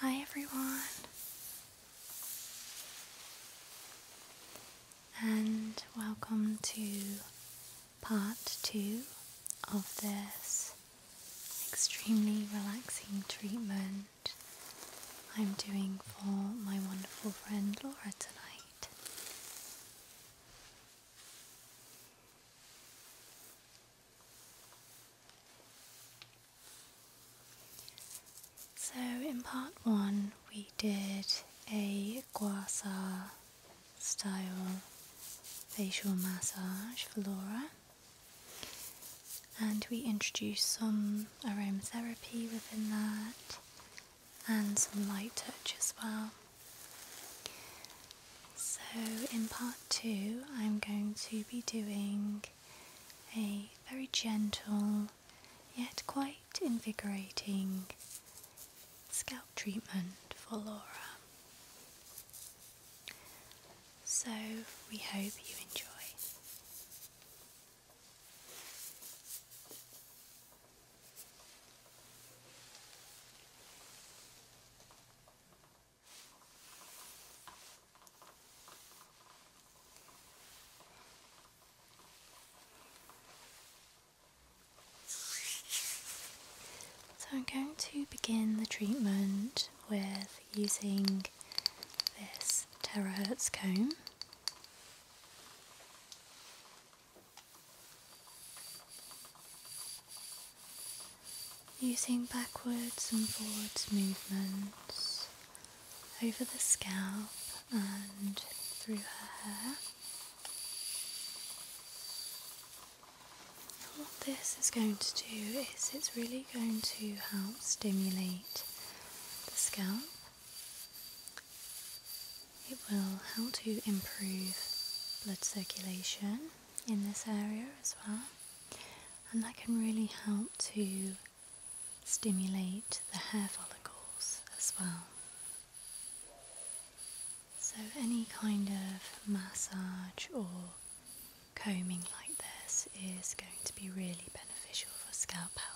Hi, everyone, and welcome to part two of this extremely relaxing treatment I'm doing for my wonderful friend Laura tonight. So, in part one, we did a gua sha style facial massage for Laura and we introduce some aromatherapy within that and some light touch as well. So, in part two, I'm going to be doing a very gentle yet quite invigorating scalp treatment for Laura. So we hope you enjoy. So I'm going to begin the treatment with using this terahertz comb. Using backwards and forwards movements over the scalp and through her hair. What this is going to do is it's really going to help stimulate the scalp. It will help to improve blood circulation in this area as well, and that can really help to stimulate the hair follicles as well. So, any kind of massage or combing like this is going to be really beneficial for scalp health.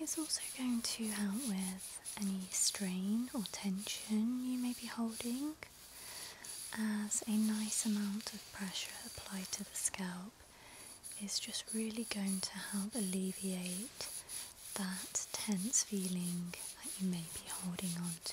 It's also going to help with any strain or tension you may be holding, as a nice amount of pressure applied to the scalp is just really going to help alleviate that tense feeling that you may be holding on to.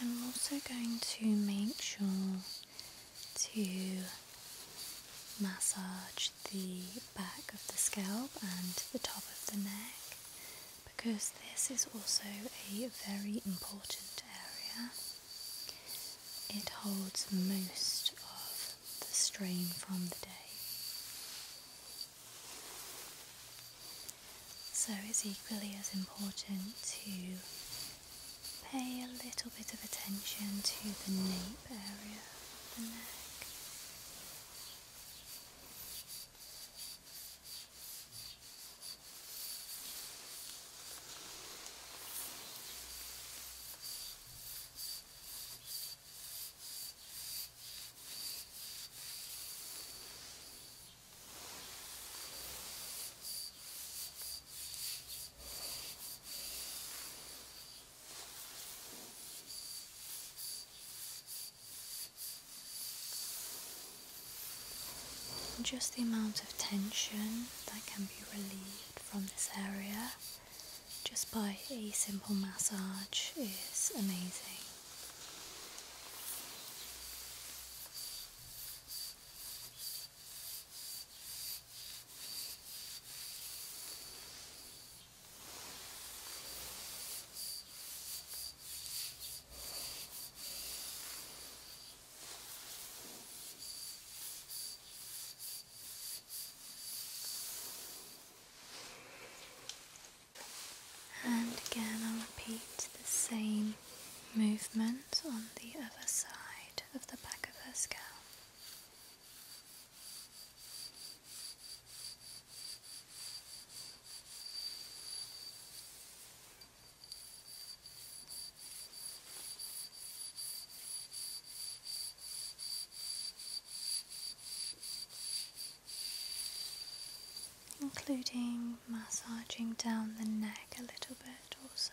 I'm also going to make sure to massage the back of the scalp and the top of the neck because this is also a very important area. It holds most of the strain from the day. So it's equally as important to pay a little bit of attention to the nape area of the neck. Just the amount of tension that can be relieved from this area just by a simple massage is amazing. And again, I'll repeat the same movement on the other side of the back of her scalp including massaging down the neck a little bit also.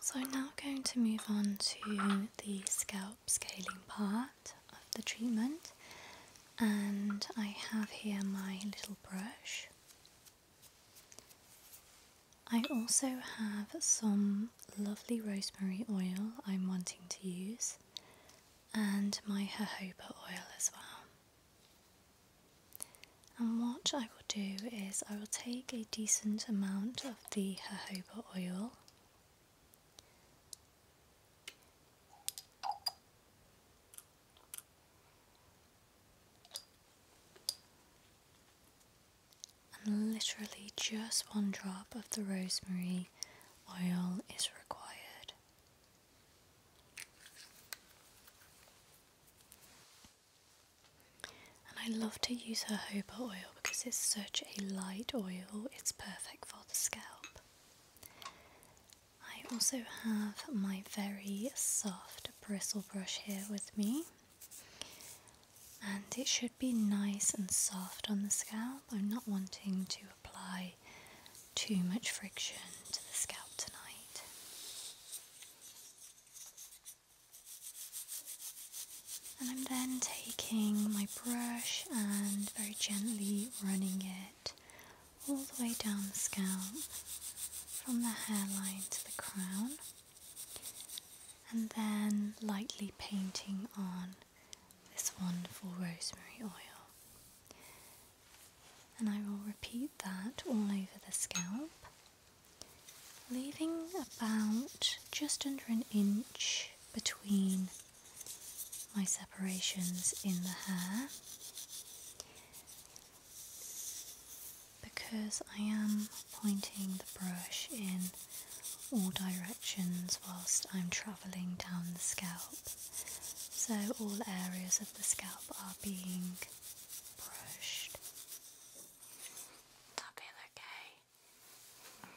So now I'm going to move on to the scalp scaling part of the treatment and I have here my little brush. I also have some lovely rosemary oil I'm wanting to use and my jojoba oil as well. And what I will do is I will take a decent amount of the jojoba oil and literally just one drop of the rosemary oil is required. And I love to use her hoba oil because it's such a light oil, it's perfect for the scalp. I also have my very soft bristle brush here with me. And it should be nice and soft on the scalp. I'm not wanting to apply too much friction to the scalp tonight. And I'm then taking my brush and very gently running it all the way down the scalp from the hairline to the crown and then lightly painting on this wonderful rosemary oil and I will repeat that all over the scalp, leaving about just under an inch between my separations in the hair because I am pointing the brush in all directions whilst I'm travelling down the scalp. So all areas of the scalp are being brushed. That feel okay. Okay.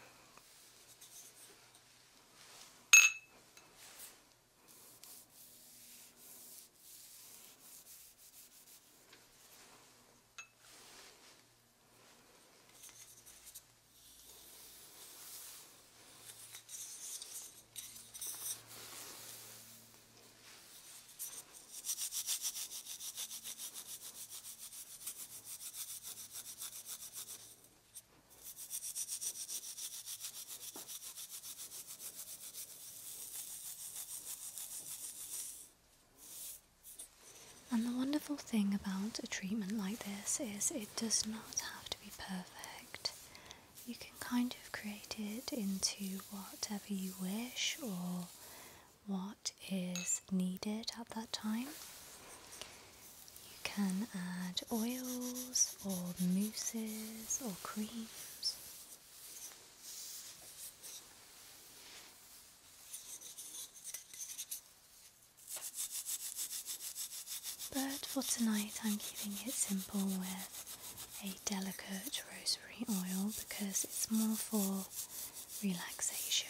And the wonderful thing about a treatment like this is it does not have to be perfect you can kind of create it into whatever you wish or what is needed at that time. You can add oils or mousses or creams. But for tonight, I'm keeping it simple with a delicate rosary oil because it's more for relaxation.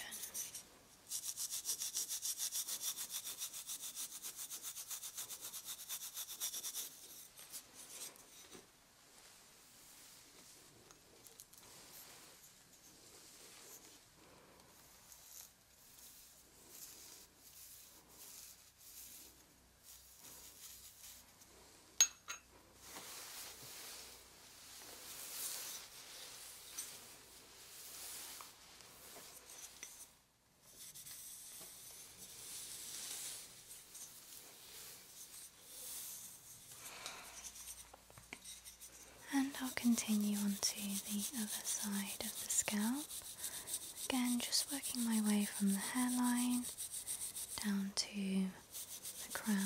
And I'll continue onto the other side of the scalp. Again, just working my way from the hairline down to the crown.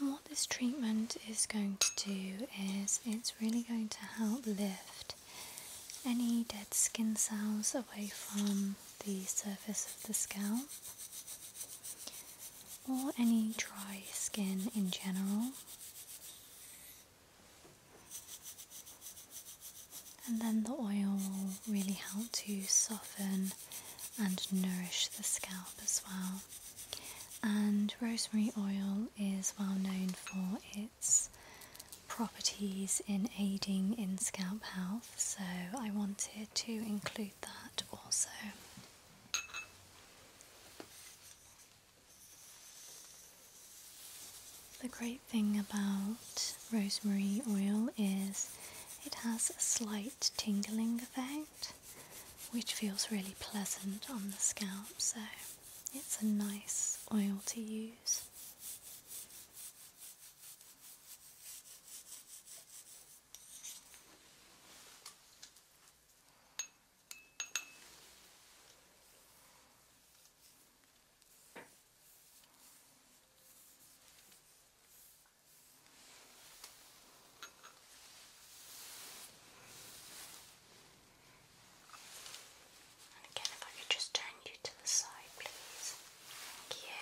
And what this treatment is going to do is it's really going to help lift any dead skin cells away from the surface of the scalp or any dry skin in general. And then the oil will really help to soften and nourish the scalp as well. And rosemary oil is well known for its properties in aiding in scalp health, so I wanted to include that also. The great thing about rosemary oil is it has a slight tingling effect which feels really pleasant on the scalp so it's a nice oil to use again, if I could just turn you to the side, please. Thank you.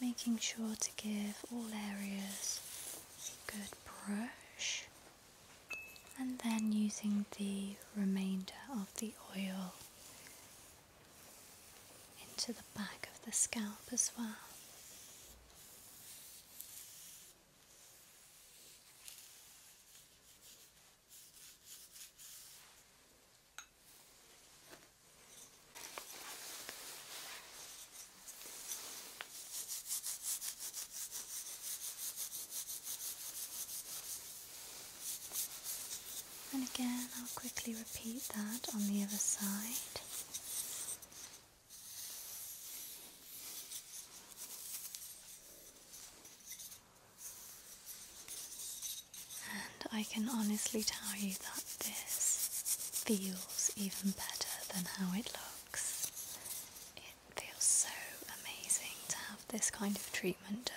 Making sure to give all areas a good brush and then using the remainder of the oil into the back of the scalp as well. And again, I'll quickly repeat that on the other side. And I can honestly tell you that this feels even better than how it looks. It feels so amazing to have this kind of treatment treatment done.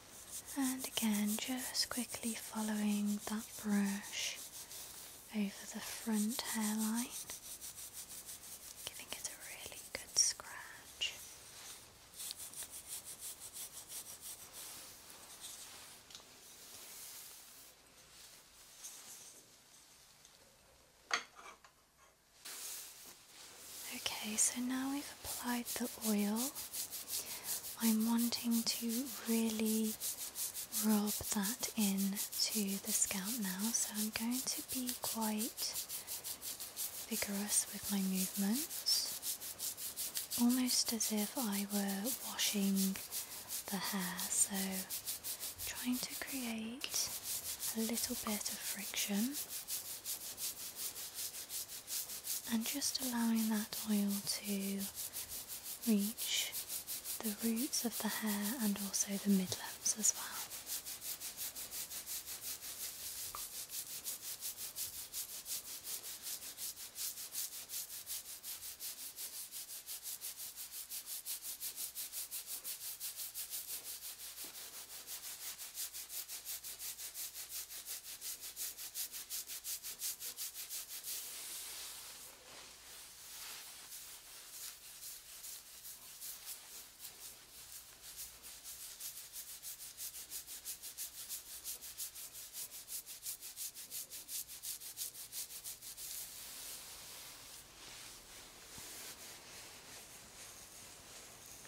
And again, just quickly following that brush over the front hairline, giving it a really good scratch. Okay, so now we've applied the oil, I'm wanting to really rub that in to the scalp now, so I'm going to be quite vigorous with my movements, almost as if I were washing the hair, so trying to create a little bit of friction and just allowing that oil to reach the roots of the hair and also the mid midlips as well.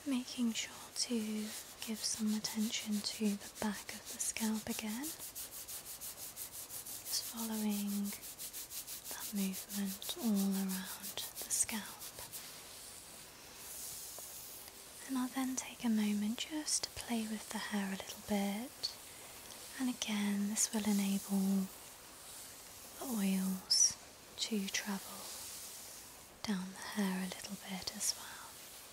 Making sure to give some attention to the back of the scalp again. Just following that movement all around the scalp. And I'll then take a moment just to play with the hair a little bit. And again, this will enable the oils to travel down the hair a little bit as well.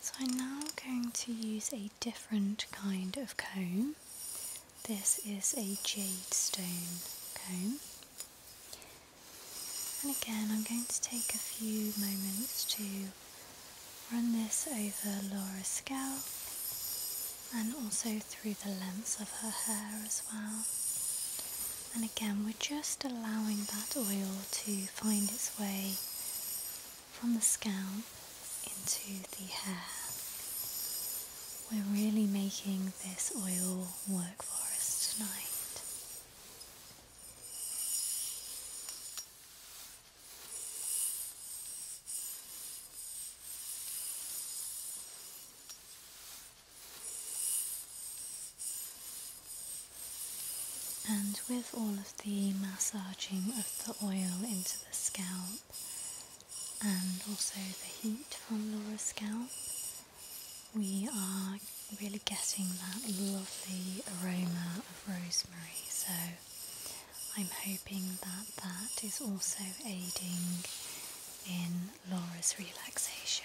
So I'm now going to use a different kind of comb. This is a jade stone comb. And again, I'm going to take a few moments to run this over Laura's scalp and also through the lengths of her hair as well. And again, we're just allowing that oil to find its way from the scalp into the hair. We're really making this oil work for us tonight. And with all of the massaging of the oil into the scalp and also the heat from Laura's scalp, we are really getting that lovely aroma of rosemary. So I'm hoping that that is also aiding in Laura's relaxation.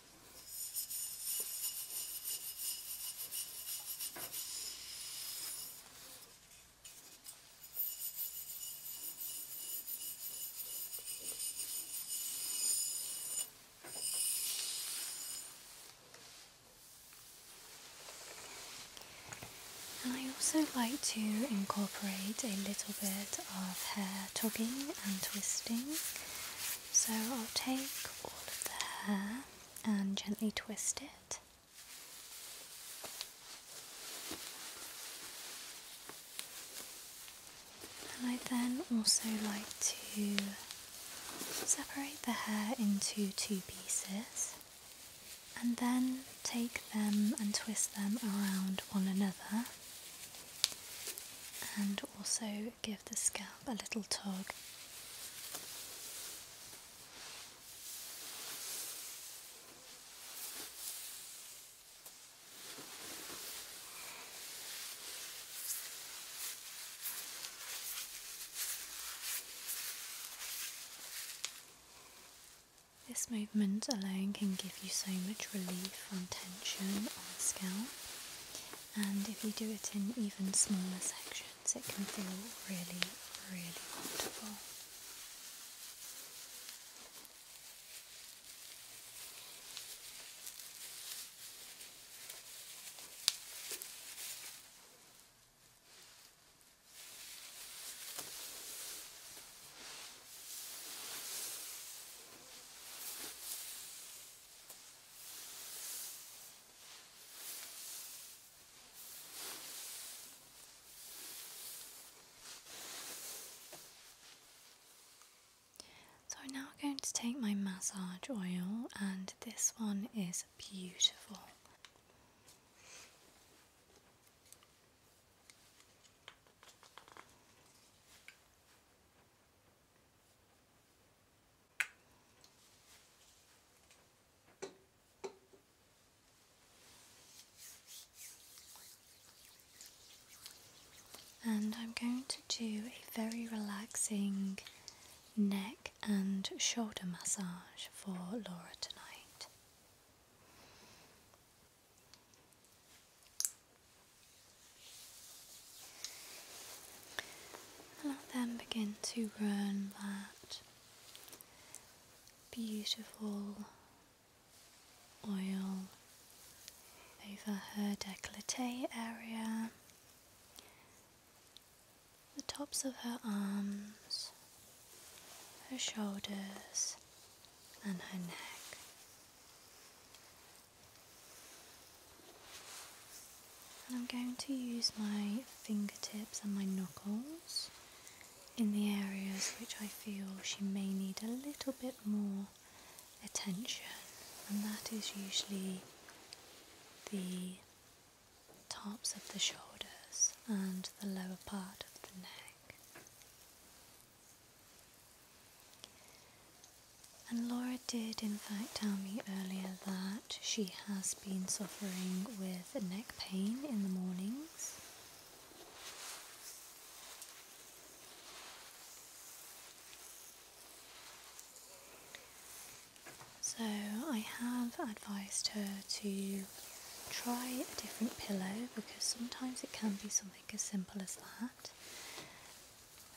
I also like to incorporate a little bit of hair tugging and twisting so I'll take all of the hair and gently twist it. And I then also like to separate the hair into two pieces and then take them and twist them around one another and also give the scalp a little tug. This movement alone can give you so much relief from tension on the scalp and if you do it in even smaller sections, it can feel really, really comfortable. So now I'm going to take my massage oil, and this one is beautiful. And I'm going to do a very relaxing neck and shoulder massage for Laura tonight. And then begin to run that beautiful oil over her décolleté area, the tops of her arms, her shoulders, and her neck. And I'm going to use my fingertips and my knuckles in the areas which I feel she may need a little bit more attention, and that is usually the tops of the shoulders and the lower part of the neck. And Laura did, in fact, tell me earlier that she has been suffering with neck pain in the mornings. So I have advised her to try a different pillow because sometimes it can be something as simple as that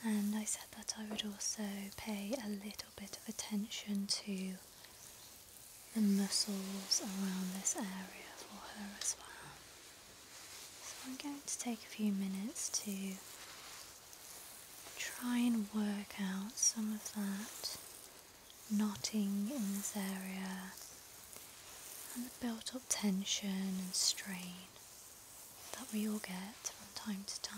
and I said that I would also pay a little bit of attention to the muscles around this area for her as well. So I'm going to take a few minutes to try and work out some of that knotting in this area and the built up tension and strain that we all get from time to time.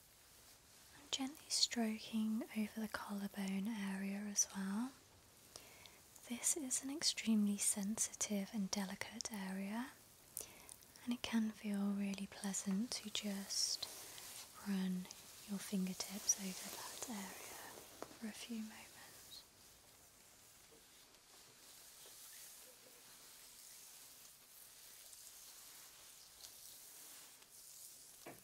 I'm gently stroking over the collarbone area as well. This is an extremely sensitive and delicate area, and it can feel really pleasant to just run your fingertips over that area for a few moments.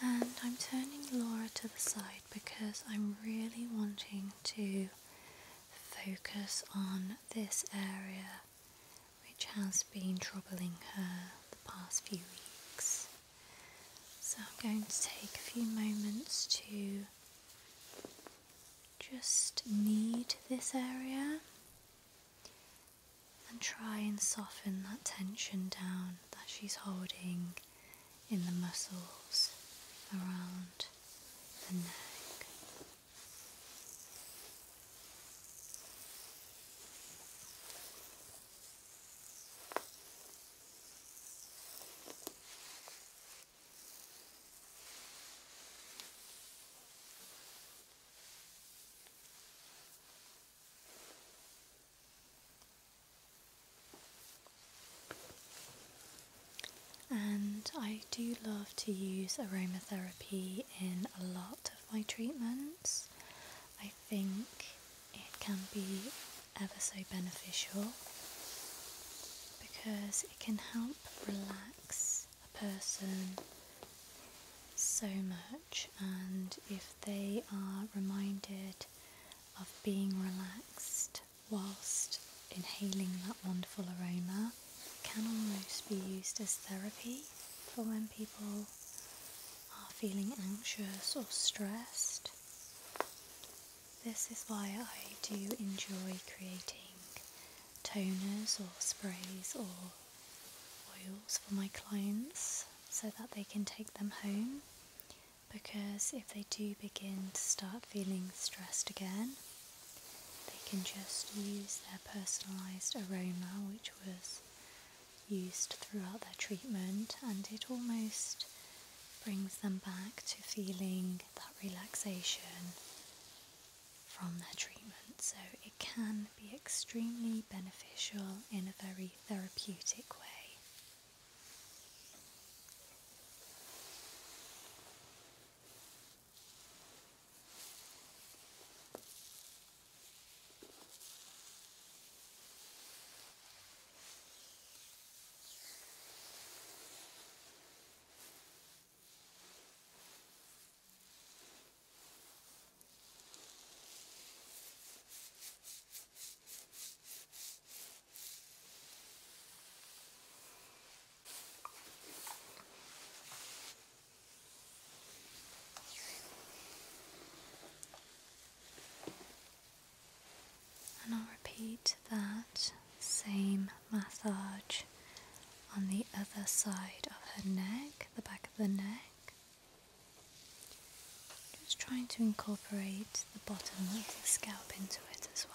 And I'm turning Laura to the side because I'm really wanting to focus on this area which has been troubling her the past few weeks. So I'm going to take a few moments to just need this area and try and soften that tension down that she's holding in the muscles around the neck. And I do love to use aromatherapy in a lot of my treatments. I think it can be ever so beneficial because it can help relax a person so much, and if they are reminded of being relaxed whilst inhaling that wonderful aroma, can almost be used as therapy for when people are feeling anxious or stressed. This is why I do enjoy creating toners or sprays or oils for my clients so that they can take them home because if they do begin to start feeling stressed again, they can just use their personalised aroma, which was used throughout their treatment, and it almost brings them back to feeling that relaxation from their treatment. So can be extremely beneficial in a very therapeutic way. And I'll repeat that same massage on the other side of her neck, the back of the neck. Just trying to incorporate the bottom of the scalp into it as well.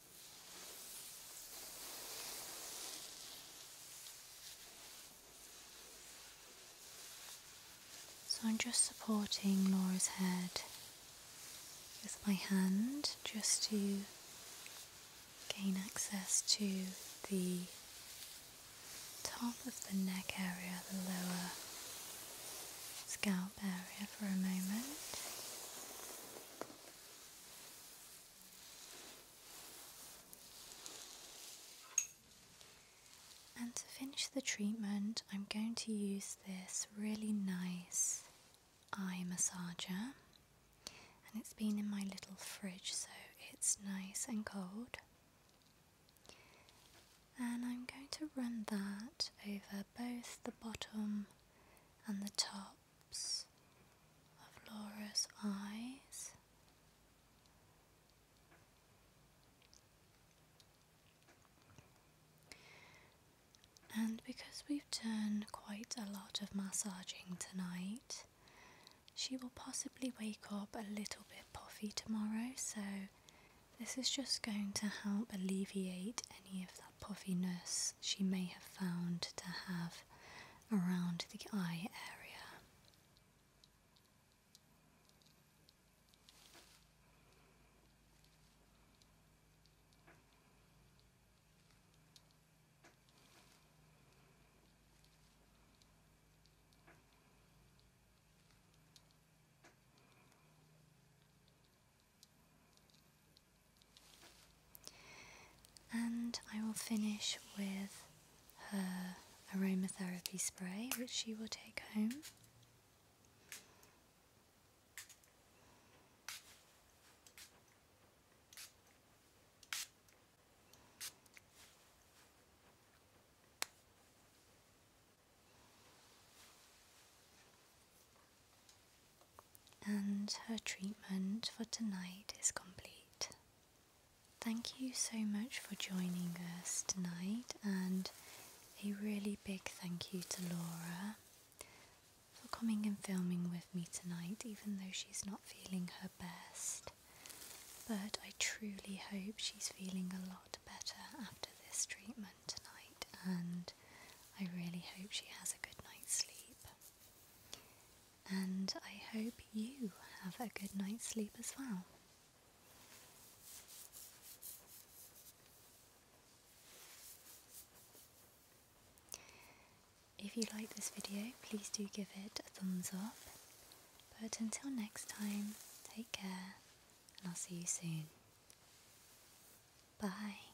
So I'm just supporting Laura's head with my hand just to gain access to the top of the neck area, the lower scalp area for a moment. And to finish the treatment, I'm going to use this really nice eye massager. And it's been in my little fridge, so it's nice and cold. And I'm going to run that over both the bottom and the top of Laura's eyes. And because we've done quite a lot of massaging tonight, she will possibly wake up a little bit puffy tomorrow, so this is just going to help alleviate any of the puffiness she may have found to have around the eye area. And I will finish with her aromatherapy spray, which she will take home. And her treatment for tonight is complete. Thank you so much for joining us tonight, and a really big thank you to Laura for coming and filming with me tonight, even though she's not feeling her best. But I truly hope she's feeling a lot better after this treatment tonight, and I really hope she has a good night's sleep. And I hope you have a good night's sleep as well. If you like this video, please do give it a thumbs up. But until next time, take care and I'll see you soon. Bye.